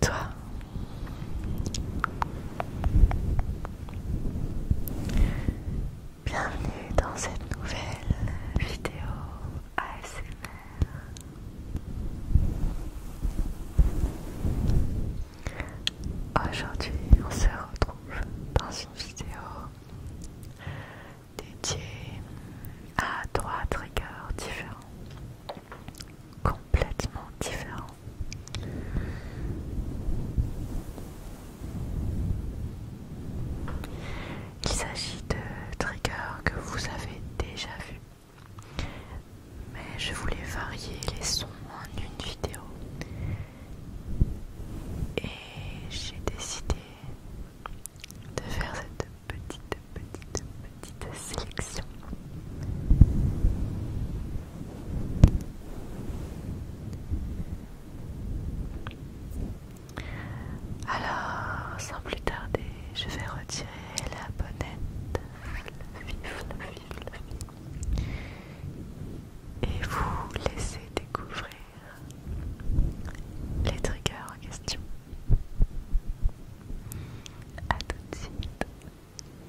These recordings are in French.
toi. Bienvenue dans cette nouvelle vidéo ASMR. Aujourd'hui, on se retrouve dans une vidéo dédiée à trois triggers différents, complètement différents. Il s'agit de triggers que vous avez déjà vu, Mais je voulais varier les sons en une vidéo. Et j'ai décidé de faire cette petite, petite, petite sélection. Alors, sans plus tarder, je vais retirer la bonnette et vous laisser découvrir les triggers en question. à tout de suite.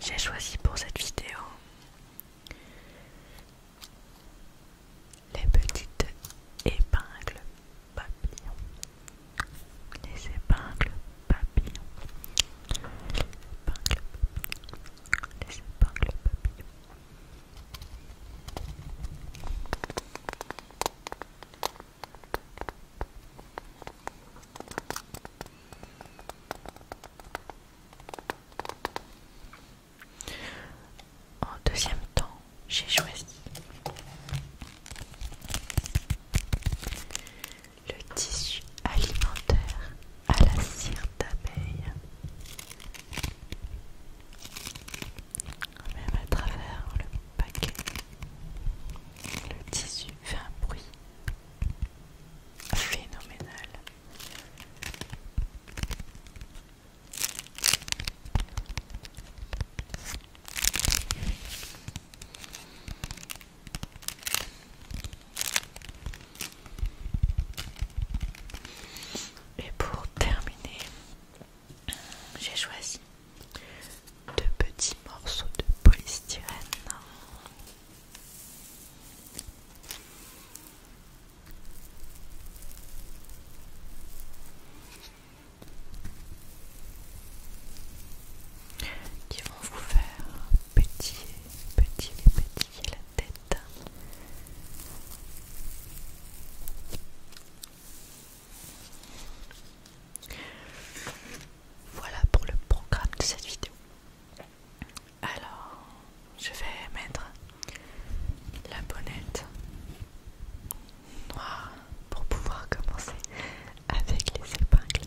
j'ai choisi pour cette vidéo les petites épingles papillons. Les épingles papillons. Les épingles Les épingles papillons. En deuxième temps, j'ai choisi le tissu alimentaire à la cire d'abeille, même à travers le paquet, le tissu fait un bruit Phénoménal. Et pour terminer, j'ai choisi de petits morceaux de polystyrène. Qui vont vous faire petit petit petit la tête. Voilà pour le programme de cette vidéo. Alors, je vais mettre la bonnette noire pour pouvoir commencer avec les épingles.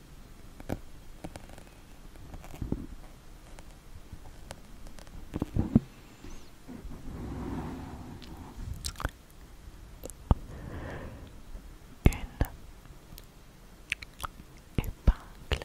Une épingle. Une épingle.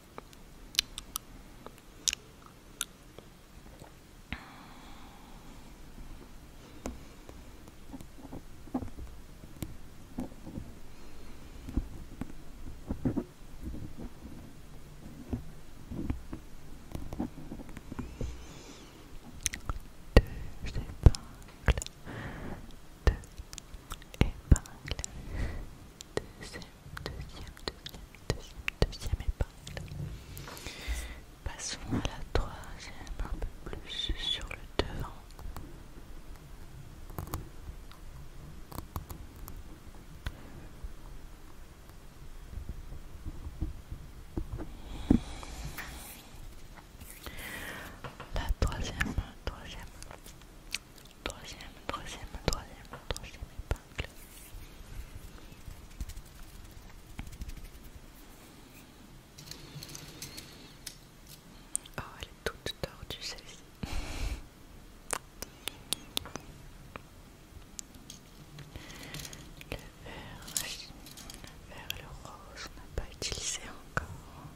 Deux épingles, deux épingles deuxième, deuxième, deuxième, deuxième épingle. Passons à la troisième, un peu plus sur le devant. La troisième, troisième, Troisième, troisième, troisième, troisième épingle. Oh, elle est toute tordue celle-ci. Le vert, le vert et le rose, on n'a pas utilisé encore.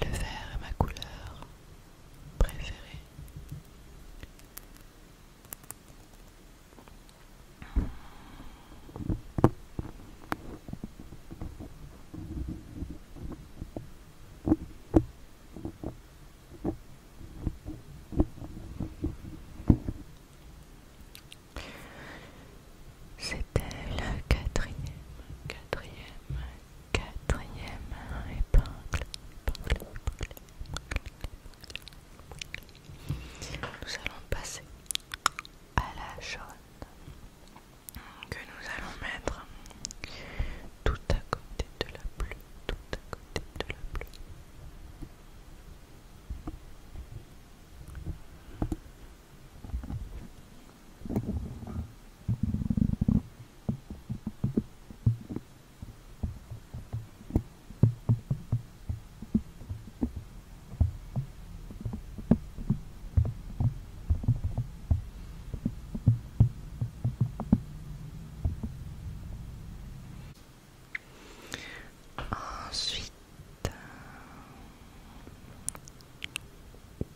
Le vert est ma couleur préférée. C'était la quatrième, quatrième, quatrième épingle. épingle. Nous allons passer à la jaune que nous allons mettre tout à côté de la bleue, tout à côté de la bleue. Ensuite, euh,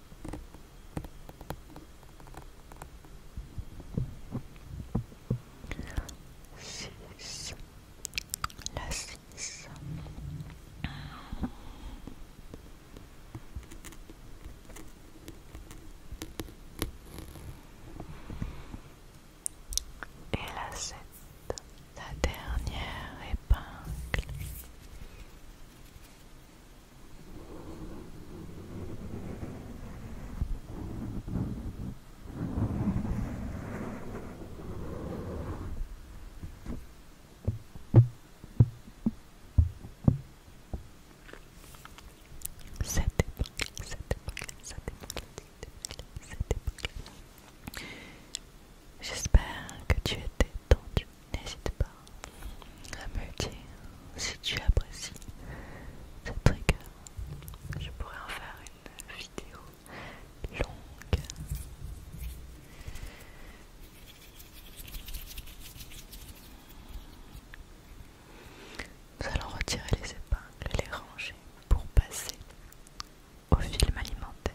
6 la 6 et la 7 la dernière épingle cette époque, cette J'espère que tu étais tendu, n'hésite pas à me dire si tu apprécies cette rigueur, Je pourrais en faire une vidéo longue. Nous allons retirer les épingles et les ranger pour passer au film alimentaire.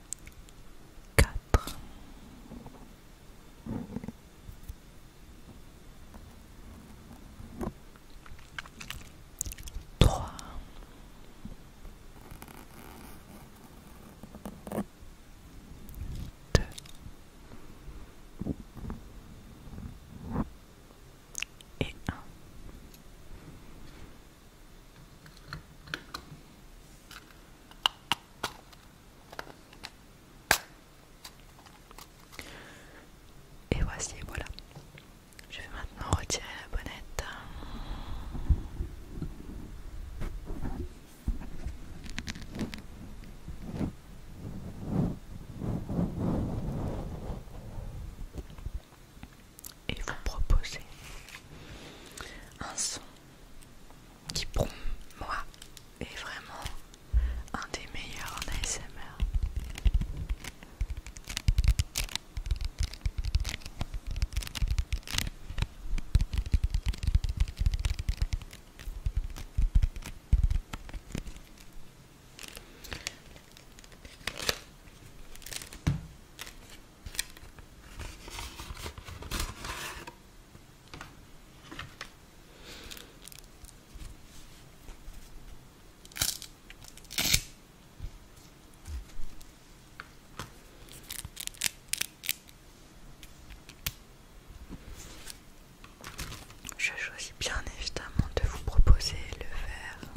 quatre trois deux et un et voici, voilà. Je vais maintenant retirer la bonnette et vous proposer un son qui pour moi est vraiment un des meilleurs en ASMR. Je choisis bien évidemment de vous proposer le verre.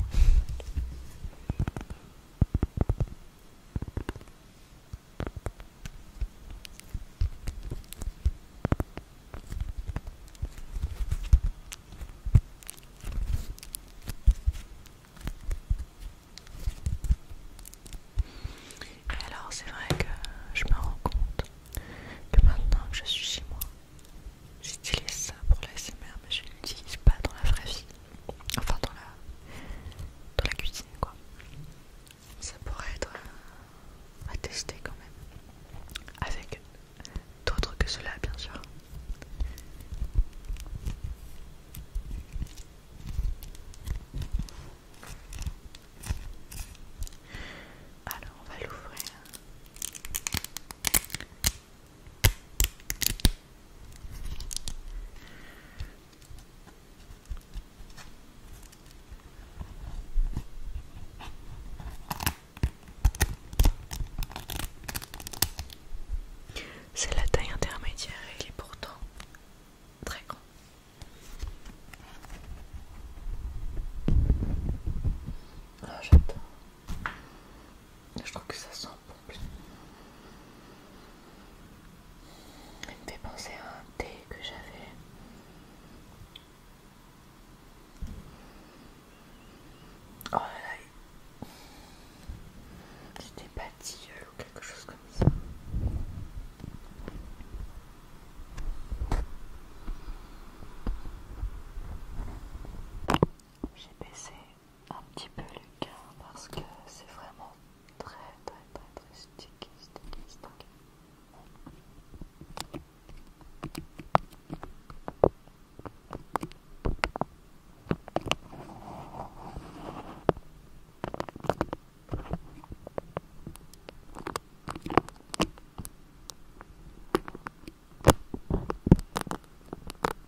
Et alors c'est vrai que je me rends compte que maintenant que je suis chez moi, j'utilise ça pour la mais je ne l'utilise pas dans la vraie vie. Enfin dans la, dans la cuisine quoi. Ça pourrait être euh, à tester quand même. Avec d'autres que cela bien sûr. Alors on va l'ouvrir. C'est la taille intermédiaire et il est pourtant très grand. Ah, je trouve que ça sent bon. Il me fait penser à un thé que j'avais. Oh là là, c'était pâtilleul ou quelque chose comme ça. J'ai baissé un petit peu le cœur parce que c'est vraiment très très très très sticky,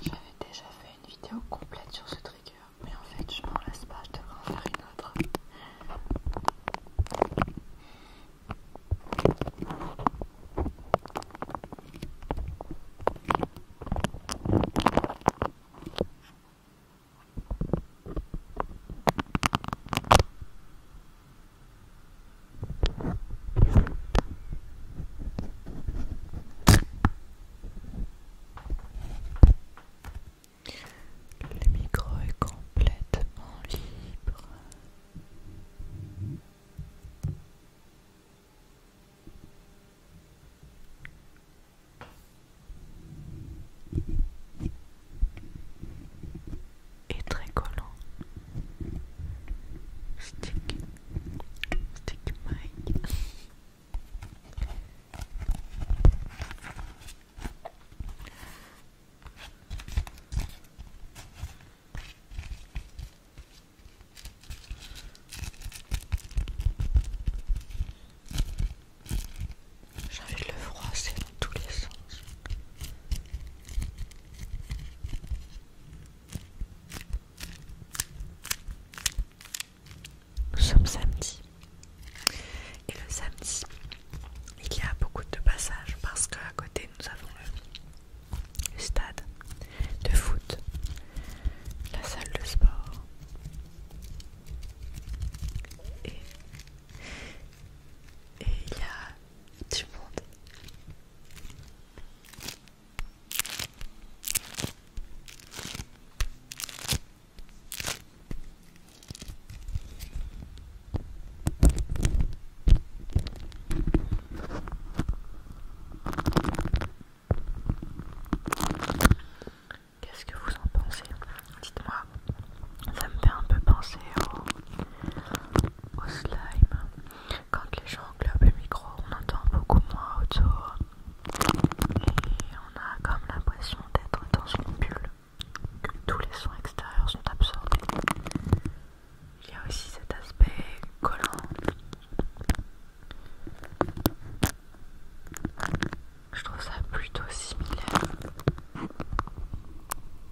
J'avais déjà fait une vidéo complète sur ce trigger, mais en fait je m'en lasse pas, je devrais en faire une autre. Le micro est complètement libre et très collant. Stick, stick mic. J'ai envie de le froisser dans tous les sens. Nous sommes samedi. Et le samedi, il y a beaucoup de passages parce qu'à côté nous avons le, stade de foot, la salle de sport et, et il y a Qu'est-ce que vous en pensez Dites-moi, ça me fait un peu penser au, au slime. Quand les gens englobent le micro, on entend beaucoup moins autour et on a comme l'impression d'être dans une bulle. Tous les sons extérieurs sont absorbés. Il y a aussi cet aspect collant. Je trouve ça plutôt similaire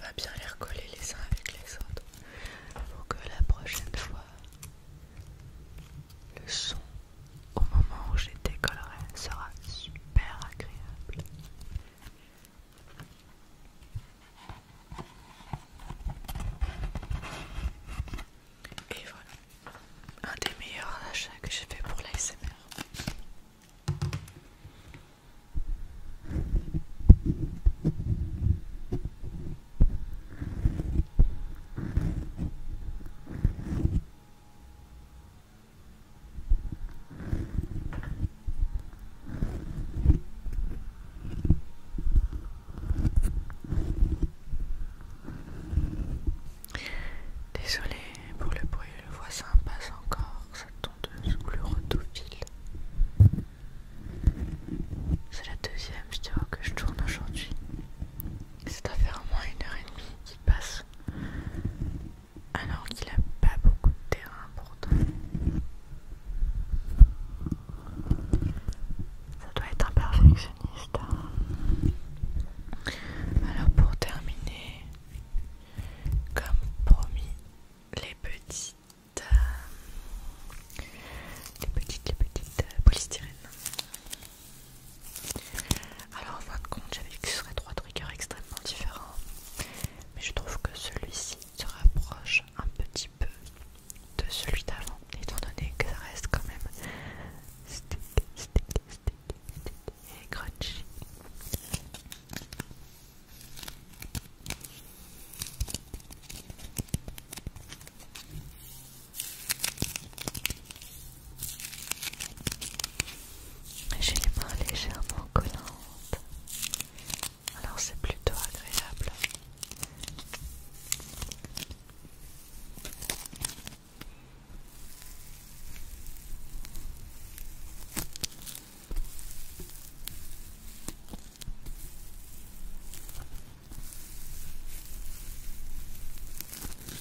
va bien les recoller les uns avec les autres pour que la prochaine fois le son au moment où j'ai décollé sera super agréable. Et voilà, un des meilleurs achats que j'ai fait pour la S.M.R. Désolé pour le bruit, le voisin passe encore ça tondeuse sous le C'est la deuxième vidéo que je tourne aujourd'hui. C'est à faire au moins une heure et demie qui passe alors qu'il a pas beaucoup de terrain pourtant. Ça doit être un perfectionniste. Hein. Alors pour terminer, comme promis, les petites, euh, les petites, les petites euh, polystyrènes. Alors en fin de compte, j'avais que ce serait trois triggers extrêmement différents, mais je trouve que celui-ci se rapproche un petit peu de celui d'avant, étant donné que ça reste quand même sticky, sticky, sticky, sticky et crunchy. J'ai les mains légèrement collantes, alors c'est plutôt agréable.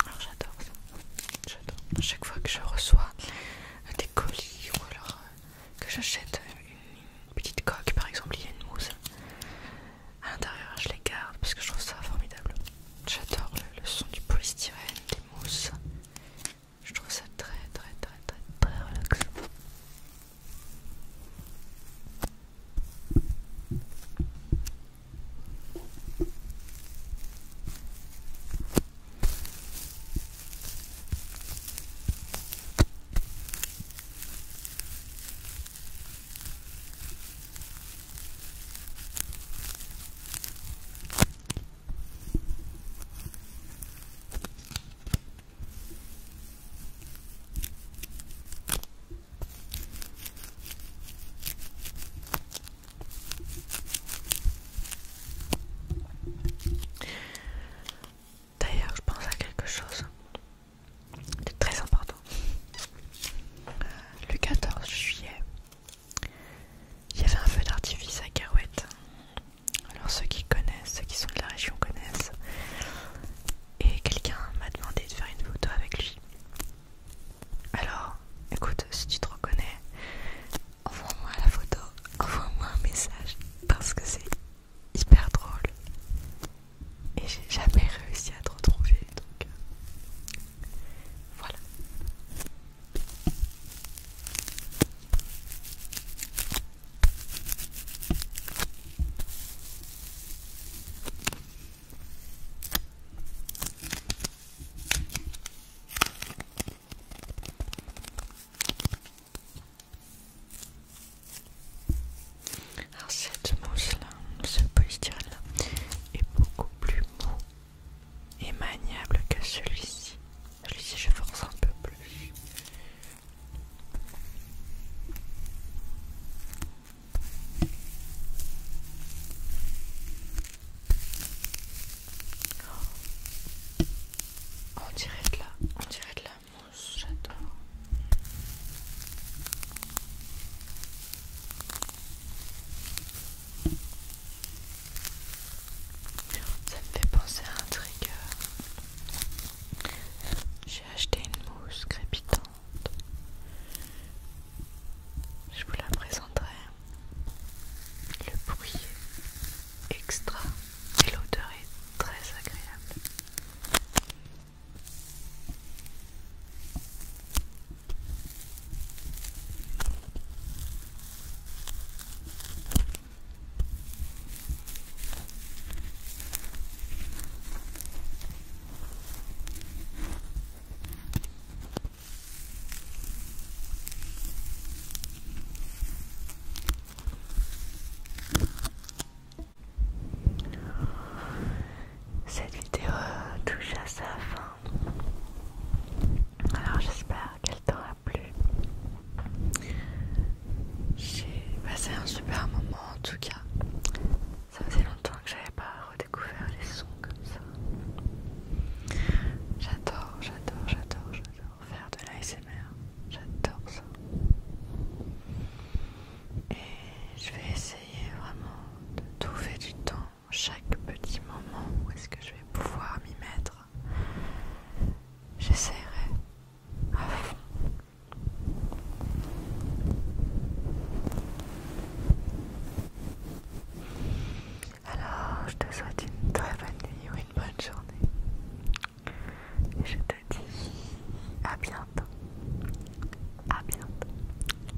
Alors j'adore ça, j'adore. chaque fois que je reçois euh, des colis ou alors euh, que j'achète une petite coque par exemple, il y a une mousse à l'intérieur, je les garde parce que je trouve ça formidable. J'adore le son du polystyrène, des mousses. Je trouve ça très très très très très relaxant. D'ailleurs, je pense à quelque chose de très important. Le 14 juillet, il y avait un feu d'artifice à Carouette alors ceux qui connaissent, ceux qui sont de la région connaissent. Et quelqu'un m'a demandé de faire une photo avec lui. Alors, écoute, si tu te reconnais, envoie-moi la photo, envoie-moi un message parce que c'est hyper drôle. Et j'ai jamais réussi à te retrouver, donc euh, voilà. Alors cette mousse là, ce polystyrène là, est beaucoup plus mou et maniable que celui-ci. Je lui ai je force un peu plus. on dirait de là, on dirait de la mousse, j'adore. Ça me fait penser à un trigger. Euh, j'ai acheté une mousse crépitante. Je vous la présenterai. Le bruit extra et l'odeur est très agréable. Cette vidéo euh, touche à sa fin. Alors j'espère qu'elle t'aura plu. J'ai passé un super moment en tout cas. Ça faisait longtemps que j'avais pas redécouvert les sons comme ça. J'adore, j'adore, j'adore, j'adore faire de l'ASMR. J'adore ça. Et je vais essayer vraiment de trouver du temps chaque petit moment où est-ce que je vais pouvoir m'y mettre J'essaierai à fond. Alors, je te souhaite une très bonne nuit ou une bonne journée. Et je te dis à bientôt. À bientôt.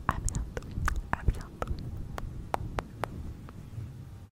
À bientôt. À bientôt.